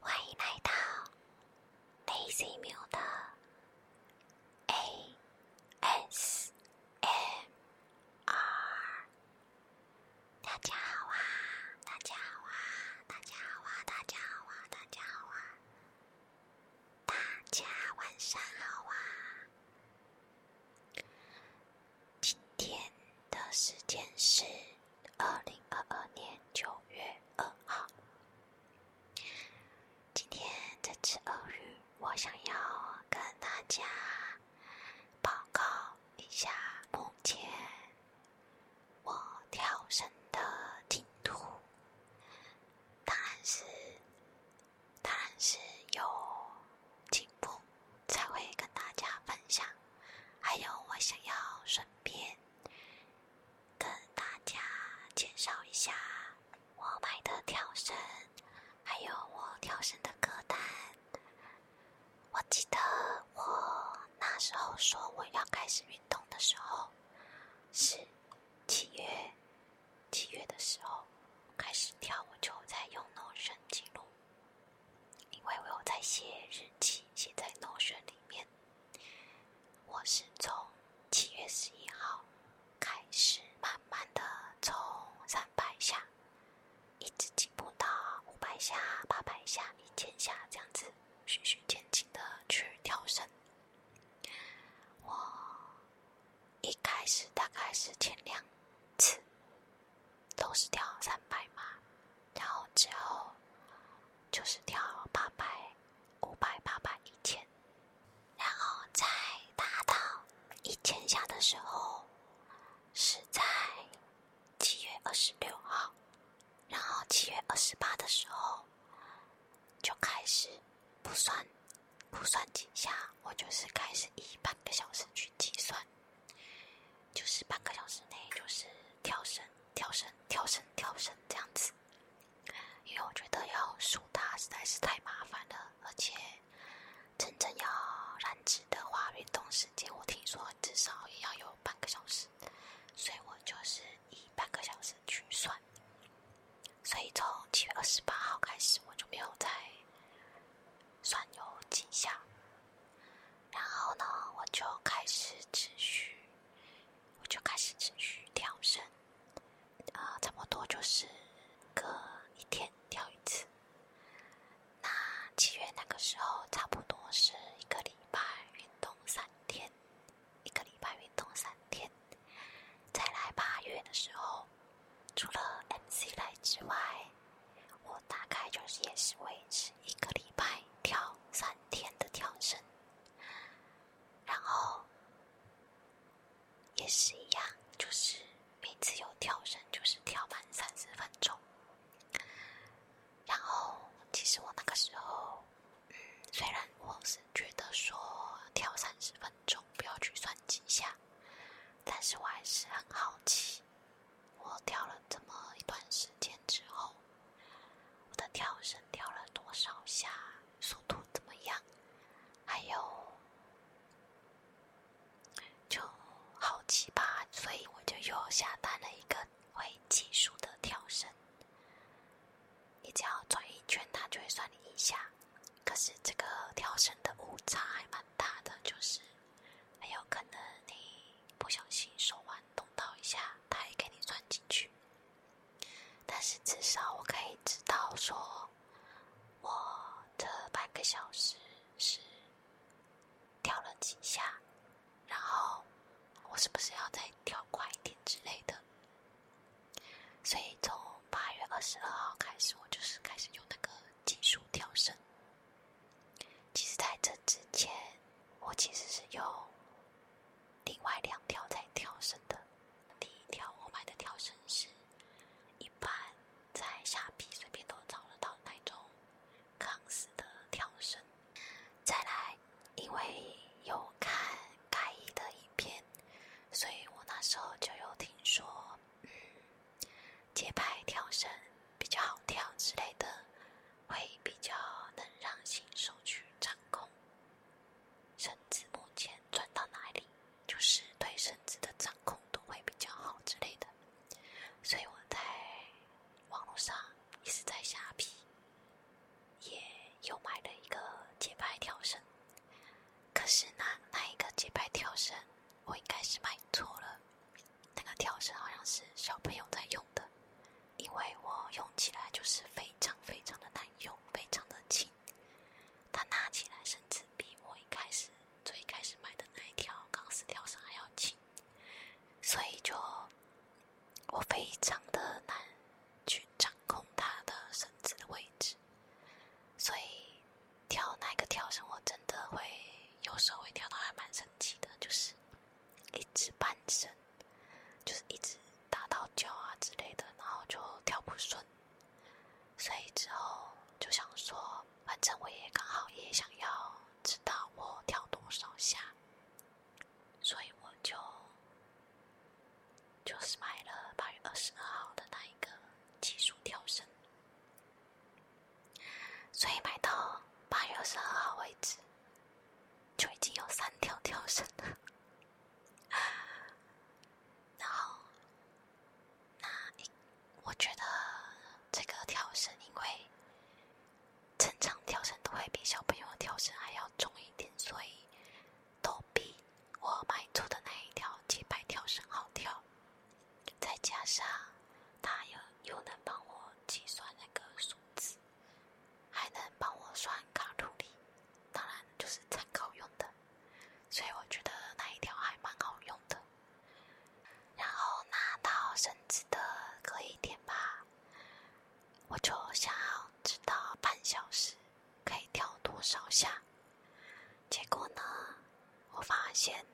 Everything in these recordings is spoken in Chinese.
欢迎来到 Daisy Mueller A S M R。大家好啊！大家好啊！大家好啊！大家好啊！大家好啊！大家晚上好啊！今天的时间是二零二二年九月二号。今天这次鳄鱼，我想要跟大家。报告一下目前我跳绳的进度，当然是，当然是有进步才会跟大家分享。还有，我想要顺便跟大家介绍一下我买的跳绳，还有我跳绳的歌单。我记得我那时候说我要开始运动的时候，是七月，七月的时候开始跳，我就在用 o 神经录，因为我有在写日记，写在 Notion 里面。我是从七月十一号开始，慢慢的从三百下。一直进步到五百下、八百下、一千下这样子，循序渐进的去跳绳。我一开始大概是前两次，都是跳三百嘛，然后之后就是跳八百、五百、八百、一千，然后再达到一千下的时候，是在。七月二十六号，然后七月二十八的时候就开始，不算不算几下，我就是开始以半个小时去计算，就是半个小时内就是跳绳、跳绳、跳绳、跳绳这样子，因为我觉得要数它实在是太麻烦了，而且。真正要燃脂的话，运动时间我听说至少也要有半个小时，所以我就是以半个小时去算。所以从七月二十八号开始，我就没有再算有几下，然后呢，我就开始持续，我就开始持续跳绳，啊，差不多就是隔一天跳一次。那七月那个时候，差不多是一个礼拜运动三天，一个礼拜运动三天。再来八月的时候，除了 MC 来之外，我大概就是也是维持一个礼拜跳三天的跳绳，然后也是一样，就是每次有跳绳就是跳满三十分钟。然后，其实我那个时候，嗯，虽然我是觉得说跳三十分钟不要去算几下，但是我还是很好奇，我跳了这么一段时间之后，我的跳绳跳了多少下，速度怎么样，还有。就好奇葩，所以我就又下单了一个会计数的跳绳。你只要转一圈，它就会算你一下。可是这个跳绳的误差还蛮大的，就是很有可能你不小心手腕动到一下，它也给你算进去。但是至少我可以知道说，我这半个小时是。跳了几下，然后我是不是要再跳快一点之类的？所以从八月二十二号开始，我就是开始用那个技术跳绳。其实在这之前，我其实是用另外两条在跳绳的。第一条我买的跳绳是一般。在下皮随便都找得到那种钢丝的跳绳，再来，因为有看盖伊的影片，所以我那时候就有听说，嗯，节拍跳绳比较好跳之类的，会比较能让新手去掌控绳子目前转到哪里，就是对绳子的掌控度会比较好之类的。所以我在网络上一直在瞎比，也又买了一个节拍跳绳。可是那那一个节拍跳绳，我应该是买错了。那个跳绳好像是小朋友在用的，因为我用起来就是非常非常的难用，非常的轻。它拿起来甚至比我一开始。最开始买的那一条钢丝跳绳还要轻，所以就我非常的难去掌控它的绳子的位置，所以跳那个跳绳我真的会，有时候会跳到还蛮生气的，就是一直半身，就是一直打到脚啊之类的，然后就跳不顺。所以之后就想说，反正我也刚好也想要知道我跳多少下，所以我就就是买了八月二十二号的那一个技术跳绳，所以买到八月二十二号为止，就已经有三条跳绳了。然后。那，我觉得这个跳绳，因为正常跳绳都会比小朋友的跳绳还要重一点，所以都比我买出的那一条几百跳绳好跳。再加上它又又能帮我计算那个数字，还能帮我算卡路里，当然就是参考用的。所以我觉得那一条还蛮好用的。然后拿到绳子的隔一天吧，我就想要知道半小时可以跳多少下。结果呢，我发现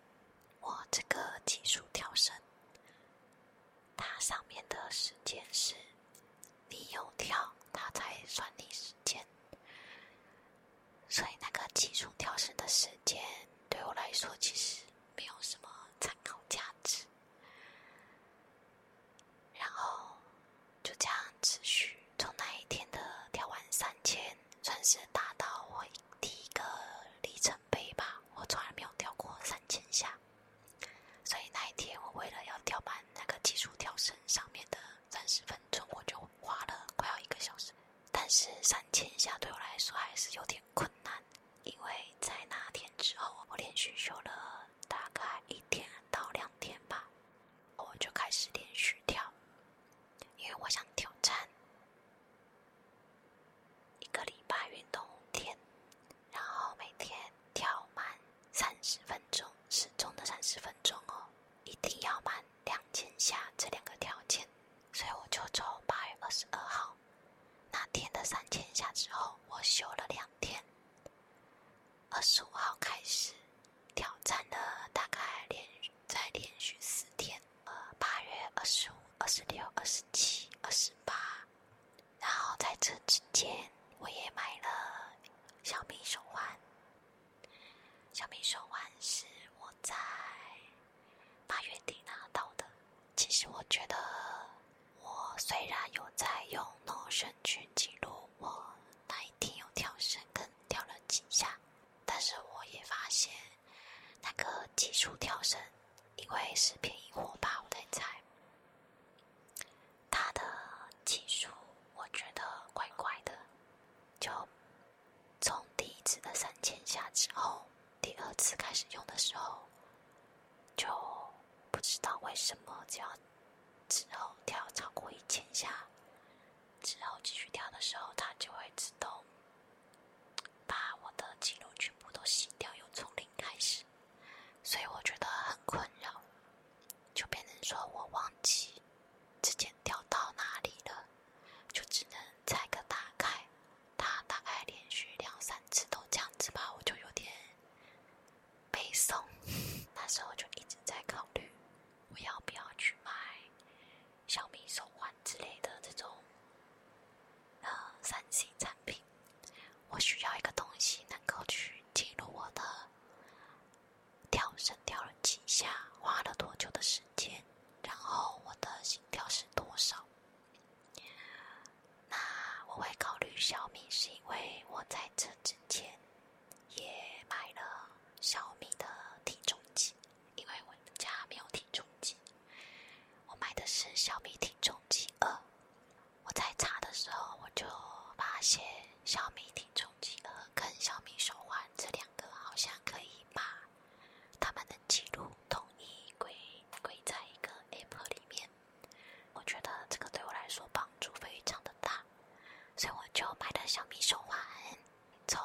我这个技术跳绳，它上面的时间是你有跳，它才算你时间。所以那个基础跳绳的时间对我来说其实没有什么参考价值。然后就这样持续，从那一天的跳完三千算是达到我第一个里程碑吧。我从来没有跳过三千下，所以那一天我为了要跳完那个基础跳绳上面的三十分钟，我就花了快要一个小时。但是三千下对我来说还是有点困难，因为在那天之后，我连续休了大概一天到两天吧，我就开始连续跳，因为我想挑战一个礼拜运动五天，然后每天跳满三十分钟，时钟的三十分钟哦，一定要满两千下这两个条件。所以我就从八月二十二号那天的三千下之后，我休了两天。二十五号开始挑战了，大概连在连续四天，呃，八月二十五、二十六、二十七、二十八。然后在这之间，我也买了小米手环。小米手环是我在八月底拿到的。其实我觉得，我虽然有在用 Notion 去记录我那一天有跳绳跟跳了几下，但是我也发现那个技术跳绳，因为是便宜货吧，我在猜，它的技术，我觉得怪怪的，就。从第一次的三千下之后，第二次开始用的时候，就不知道为什么，只要之后跳超过一千下，之后继续跳的时候，它就会自动把我的记录全部都洗掉，又从零开始，所以我觉得很困扰，就变成说我忘记。之前掉到哪里了，就只能猜个大概。它大概连续两三次都这样子吧，我就有点悲诵，那时候就一直在考虑，我要不要去买小米手环之类的这种呃三星产品？我需要一个东西能够去记录我的跳绳跳了几下，花了多久的间。前，然后我的心跳是多少？那我会考虑小米，是因为我在这之前也买了小米的体重计，因为我们家没有体重计，我买的是小米体重计二。我在查的时候，我就发现小米体重计二跟小米手环这两个好像可以把。他们的记录统一归归在一个 App 里面，我觉得这个对我来说帮助非常的大，所以我就买了小米手环。从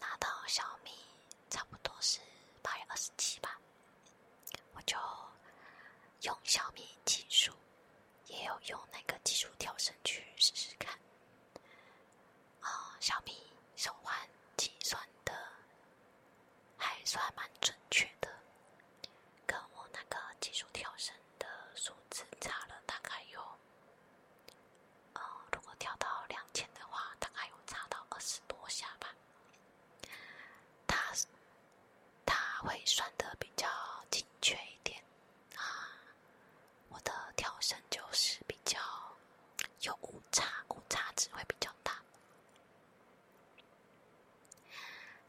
拿到小米，差不多是八月二十七吧，我就用小米技术，也有用那个技术跳绳去试试看。啊，小米手环计算的还算蛮准确的，跟我那个技术跳绳的数字差了大概有，呃，如果跳到两千的话，大概有差到二十多下吧。它它会算的比较精确一点，啊。我的跳绳就是比较有误差，误差值会比较大。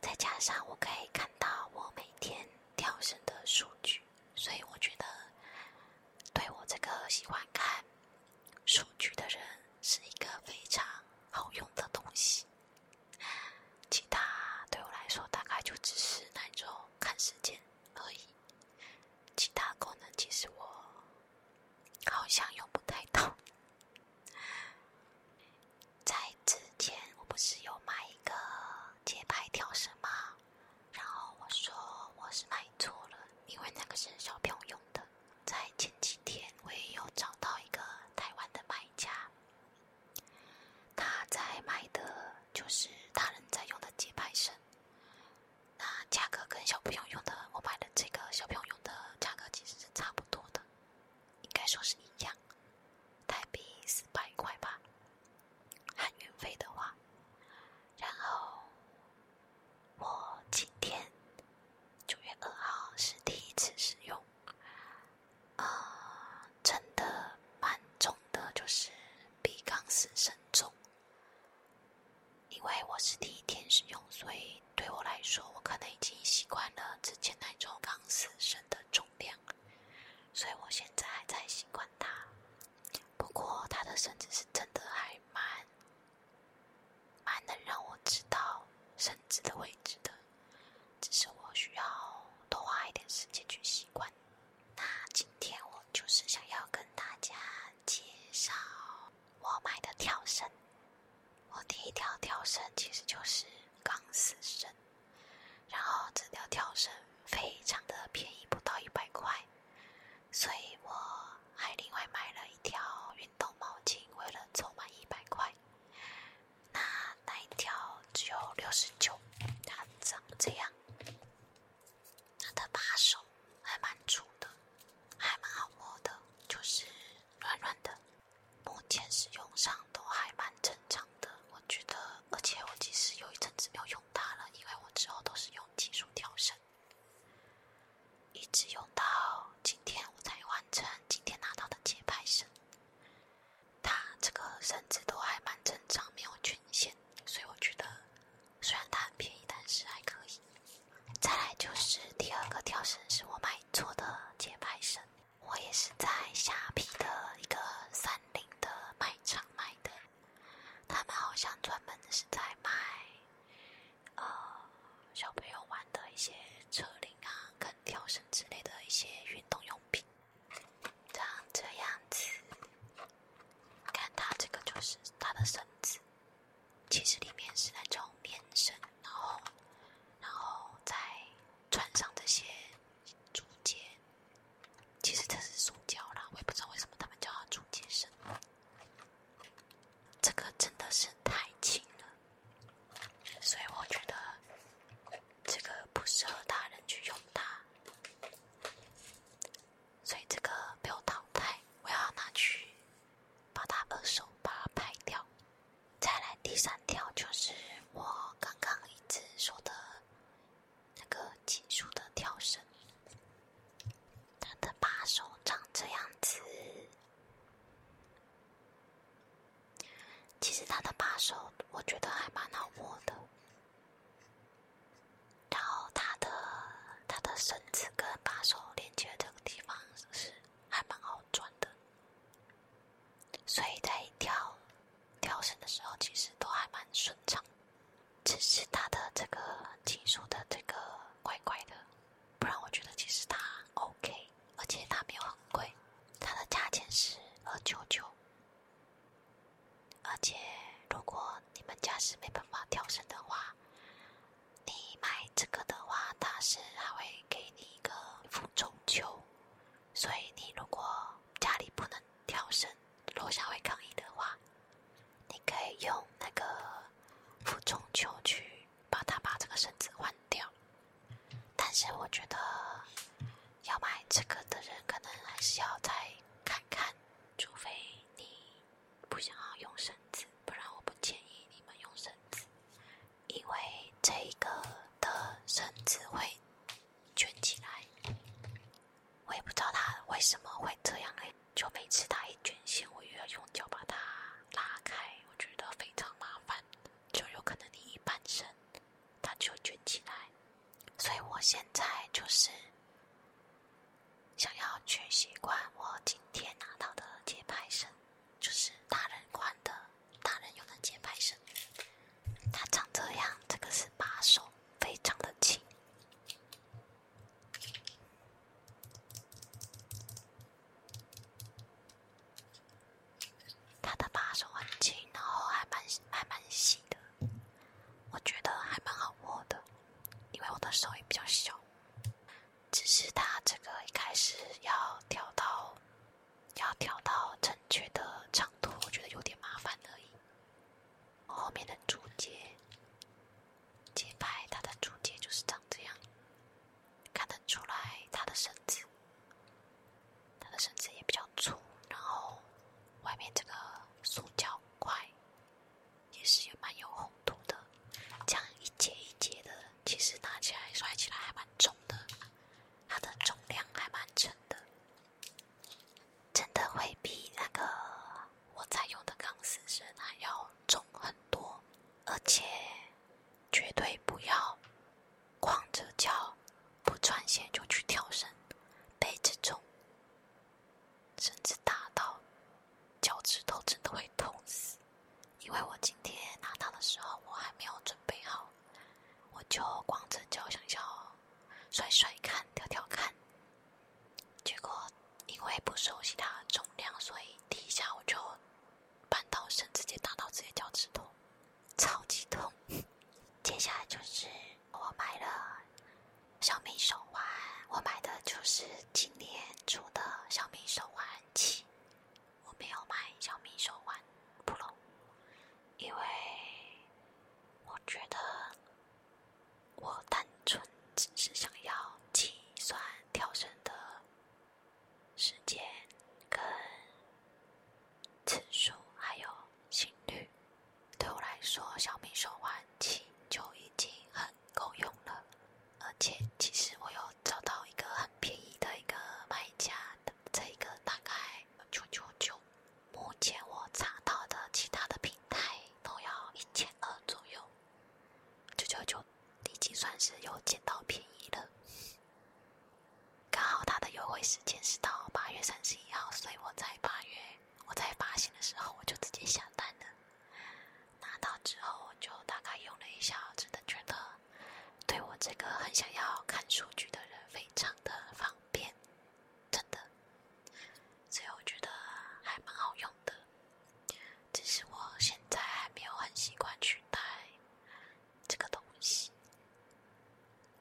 再加上我可以看到我每天跳绳的数据，所以我觉得对我这个喜欢看数据的人是一个非常好用的东西。其他对我来说，大概就只是那种看时间而已。其他功能其实我好像用不太到。在之前，我不是有买一个节拍跳绳吗？然后我说我是买错了，因为那个是小朋友用的。在前几天，我也有找到一个台湾的卖家，他在卖的就是大人在用的节拍绳。那价格跟小朋友用的，我买的这个小朋友用的价格其实是差不多的，应该说是一样，台币四百块吧。含运费的话，然后我今天九月二号是第一次使用，啊，真的蛮重的，就是比钢丝深重。因为我是第一天使用，所以对我来说，我可能已经习惯了之前那种钢丝绳的重量，所以我现在还在习惯它。不过它的绳子是真的还蛮蛮能让我知道绳子的位置的，只是我需要多花一点时间去习惯。那今天我就是想要跟大家介绍我买的跳绳。我第一条跳绳其实就是钢丝绳，然后这条跳绳非常的便宜，不到一百块。所以我还另外买了一条运动毛巾，为了凑满一百块。那那一条只有六十九，它长这样。它的把手还蛮粗的，还蛮好摸的，就是软软的。目前使用上都还蛮正常的，我觉得。而且我其实有一阵子没有用它了，因为我之后都是用技术跳绳，一直用到今天我才完成今天拿到的节拍绳。它这个绳子都还蛮正常，没有缺陷，所以我觉得。虽然它很便宜，但是还可以。再来就是第二个跳绳，是我买错的节拍绳。我也是在虾皮的一个三菱的卖场买的，他们好像专门是在卖，呃，小朋友玩的一些车铃啊、跟跳绳之类的一些运动用品，长这样子。看它这个就是它的绳子，其实里面是那种棉绳，然后，然后再穿上这些竹节，其实这是塑胶啦，我也不知道为什么他们叫它竹节绳。这个真的是太轻了，所以我觉得这个不适合大人去用它。所以这个被我淘汰，我要拿去把它二手把它拍掉。再来第三条就是我刚刚一直说的那个金属的跳绳，它的把手长这样子。其实它的把手我觉得还蛮好握的。然后它的它的绳子跟把手连接这个地方是还蛮好转的，所以在调调绳的时候其实都还蛮顺畅，只是它的这个金属的这个怪怪的，不然我觉得其实它 OK，而且它没有很贵，它的价钱是二九九。而且，如果你们家是没办法跳绳的话，你买这个的话，它是还会给你一个负重球，所以你如果家里不能跳绳，楼下会抗议的话，你可以用那个负重球去把它把这个绳子换掉。但是我觉得，要买这个的人可能还是要再看看。除非你不想要用绳子，不然我不建议你们用绳子，因为这个的绳子会卷起来。我也不知道它为什么会这样，就每次它一卷，线，我又要用脚把它拉开，我觉得非常麻烦。就有可能你一半身它就卷起来。所以我现在就是想要去习惯我今天拿到的节拍声，就是大人款的，大人用的节拍声。它长这样，这个是把手，非常的轻。它的把手很轻，然后还蛮还蛮细的。我觉得还蛮好握的，因为我的手也比较小。只是它这个一开始要调到，要调到正确的长度，我觉得有点麻烦而已。后面的竹节节拍，它的竹节就是长这样，看得出来它的绳子，它的绳子也比较粗，然后外面这个塑胶。快，也是也蛮有厚度的，这样一节一节的，其实拿起来、甩起来还蛮重的，它的重量还蛮沉的，真的会比那个我在用的钢丝绳还要重很多，而且绝对不要光着脚不穿鞋就去跳绳，背着重。甚至打到脚趾头，真的会痛死。因为我今天拿到的时候，我还没有准备好，我就光着脚想要甩甩看、跳跳看。结果因为不熟悉它重量，所以第一下我就绊到甚至直接打到自己的脚趾头，超级痛。接下来就是。我买了小米手环，我买的就是今年出的小米手环七。我没有买小米手环 Pro，因为我觉得我单纯只是想要计算跳绳的时间跟次数，还有心率。对我来说，小米手环七就已经很够用了，而且其实我有找到一个很便宜的一个卖家的，这个大概九九九。目前我查到的其他的平台都要一千二左右，九九九已经算是有捡到便宜了。刚好他的优惠时间是到八月三十一号，所以我在八月。我在发现的时候，我就直接下单了，拿到之后就大概用了一下，真的觉得对我这个很想要看数据的人非常的方便，真的。所以我觉得还蛮好用的，只是我现在还没有很习惯去带这个东西。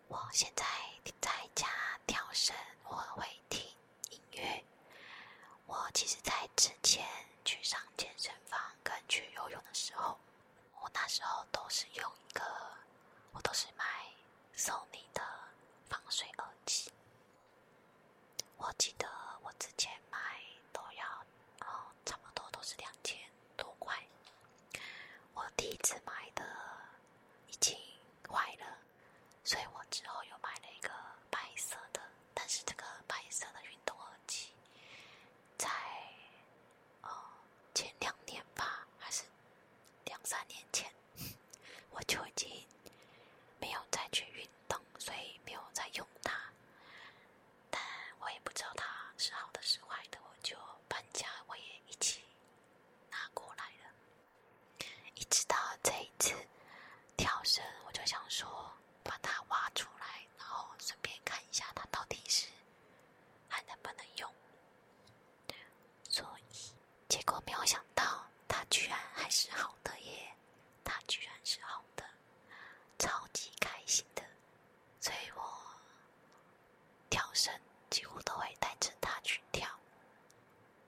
我现在在家跳绳，我会听音乐。我其实在之前去上健身房跟去游泳的时候，我那时候都是用一个，我都是买索尼的防水耳机。我记得我之前买都要哦，差不多都是两千多块。我第一次买的已经。坏了，所以我之后又买了一个白色的。但是这个白色的运动耳机，在呃前两年吧，还是两三年前，我就已经没有再去运动，所以没有再用它。但我也不知道它是好的是坏的，我就搬家我也一起拿过来了。一直到这一次跳绳，我就想说把它挖出来，然后顺便看一下它到底是还能不能用。所以结果没有想到，它居然还是好的耶！它居然是好的，超级开心的，所以我。跳绳几乎都会带着它去跳，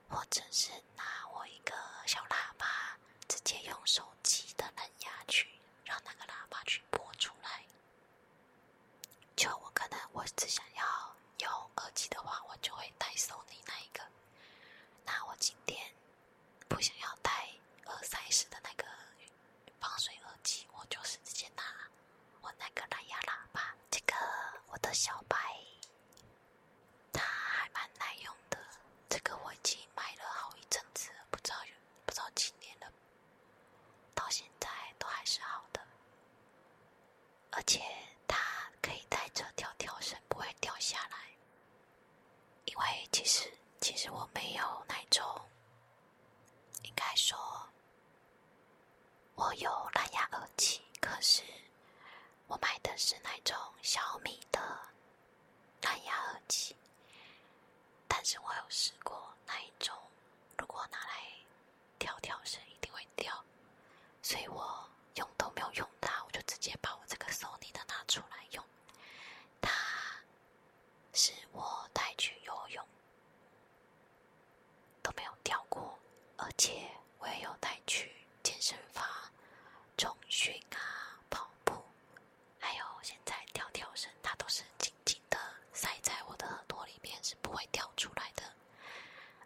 或者是拿我一个小喇叭，直接用手机的蓝牙去让那个喇叭去播出来。就我可能我只想要有耳机的话，我就会带送你那一个。那我今天不想要带耳塞式的那个防水耳机，我就是直接拿。我那个蓝牙喇叭，这个我的小白，它还蛮耐用的。这个我已经买了好一阵子，不知道不知道几年了，到现在都还是好的。而且它可以带着跳跳绳，不会掉下来。因为其实其实我没有那种，应该说。我有蓝牙耳机，可是我买的是那种小米的蓝牙耳机。但是我有试过那一种，如果拿来跳跳绳一定会掉，所以我用都没有用它，我就直接把我这个索尼的拿出来用。它是我带去游泳。都没有掉过，而且我也有带去健身房、重训啊、跑步，还有现在跳跳绳，它都是紧紧的塞在我的耳朵里面，是不会掉出来的。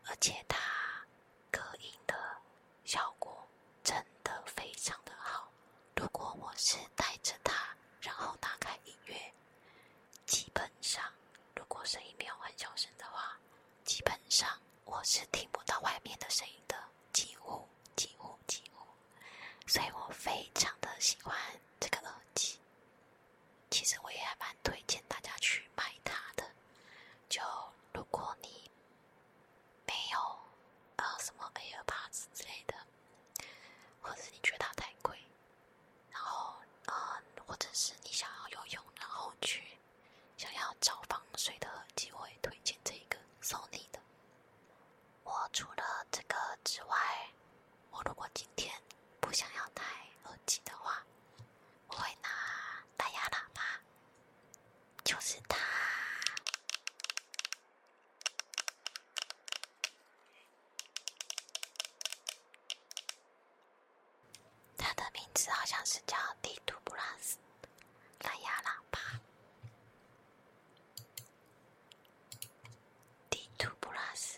而且它隔音的效果真的非常的好。如果我是带着它，然后打开音乐。基本上，如果声音没有很小声的话，基本上我是听不到外面的声音的，几乎几乎几乎。所以我非常的喜欢这个耳机。其实我也还蛮推荐大家去买它的，就如果你没有呃什么 AirPods 之类的，或者你觉得它太贵。然后，呃，或者是你想要游泳，然后去想要找防水的耳机，我推荐这个索尼的。我除了这个之外，我如果今天不想要戴耳机的话，我会拿大牙喇叭，就是它。它的名字好像是叫 D t Plus 蓝牙喇叭，D t Plus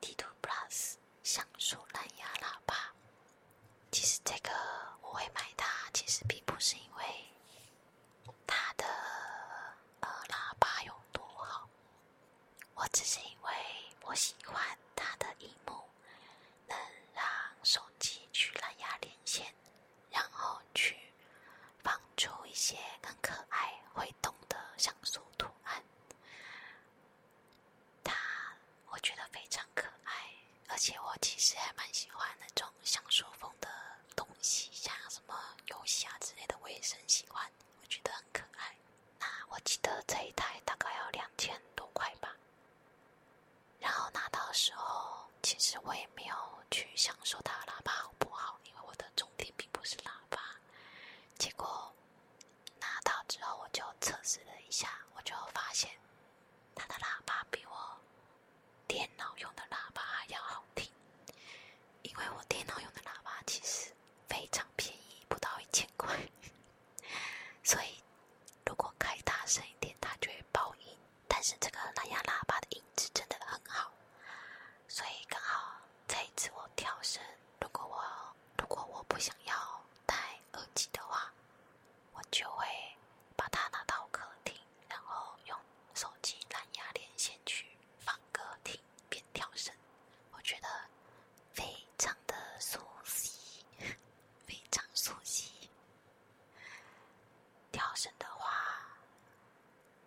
D t Plus 像素蓝牙喇叭。其实这个我会买它，其实并不是因为它的呃喇叭有多好。我只是因为我喜欢它的荧幕，能让手机去蓝牙连线，然后去放出一些更可爱会动的像素图案。它我觉得非常可爱，而且我其实还蛮喜欢那种像素风的东西，像什么游戏啊之类的，我也很喜欢，我觉得很可爱。那我记得这一台大概要两千多块吧，然后拿到时候，其实我也没有去享受它喇叭好不好，因为我的重点并不是喇叭。结果拿到之后，我就测试了一下，我就发现它的喇叭比我电脑用的喇叭要好听，因为我电脑用的喇叭其实非常便宜，不到一千块。所以，如果开大声一点，它就会爆音。但是这个蓝牙喇叭的音质真的很好，所以刚好这一次我调声。如果我如果我不想要戴耳机的话，我就会把它拿到客厅，然后用手机蓝牙连线去放歌听。边跳绳，我觉得非常的熟悉，非常熟悉。跳绳的话，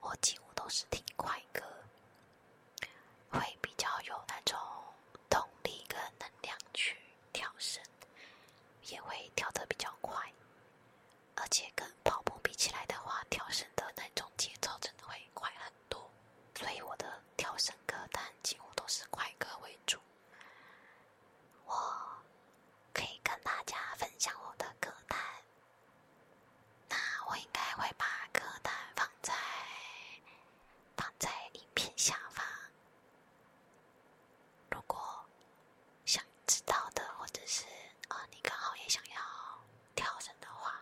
我几乎都是听快歌，会比较有那种动力跟能量去跳绳，也会跳的比较快。而且跟跑步比起来的话，跳绳的那种节奏真的会快很多。多，所以我的跳绳歌单几乎都是快歌为主。我可以跟大家分享我的歌单，那我应该会把歌单放在放在影片下方。如果想知道的，或者是呃，你刚好也想要跳绳的话。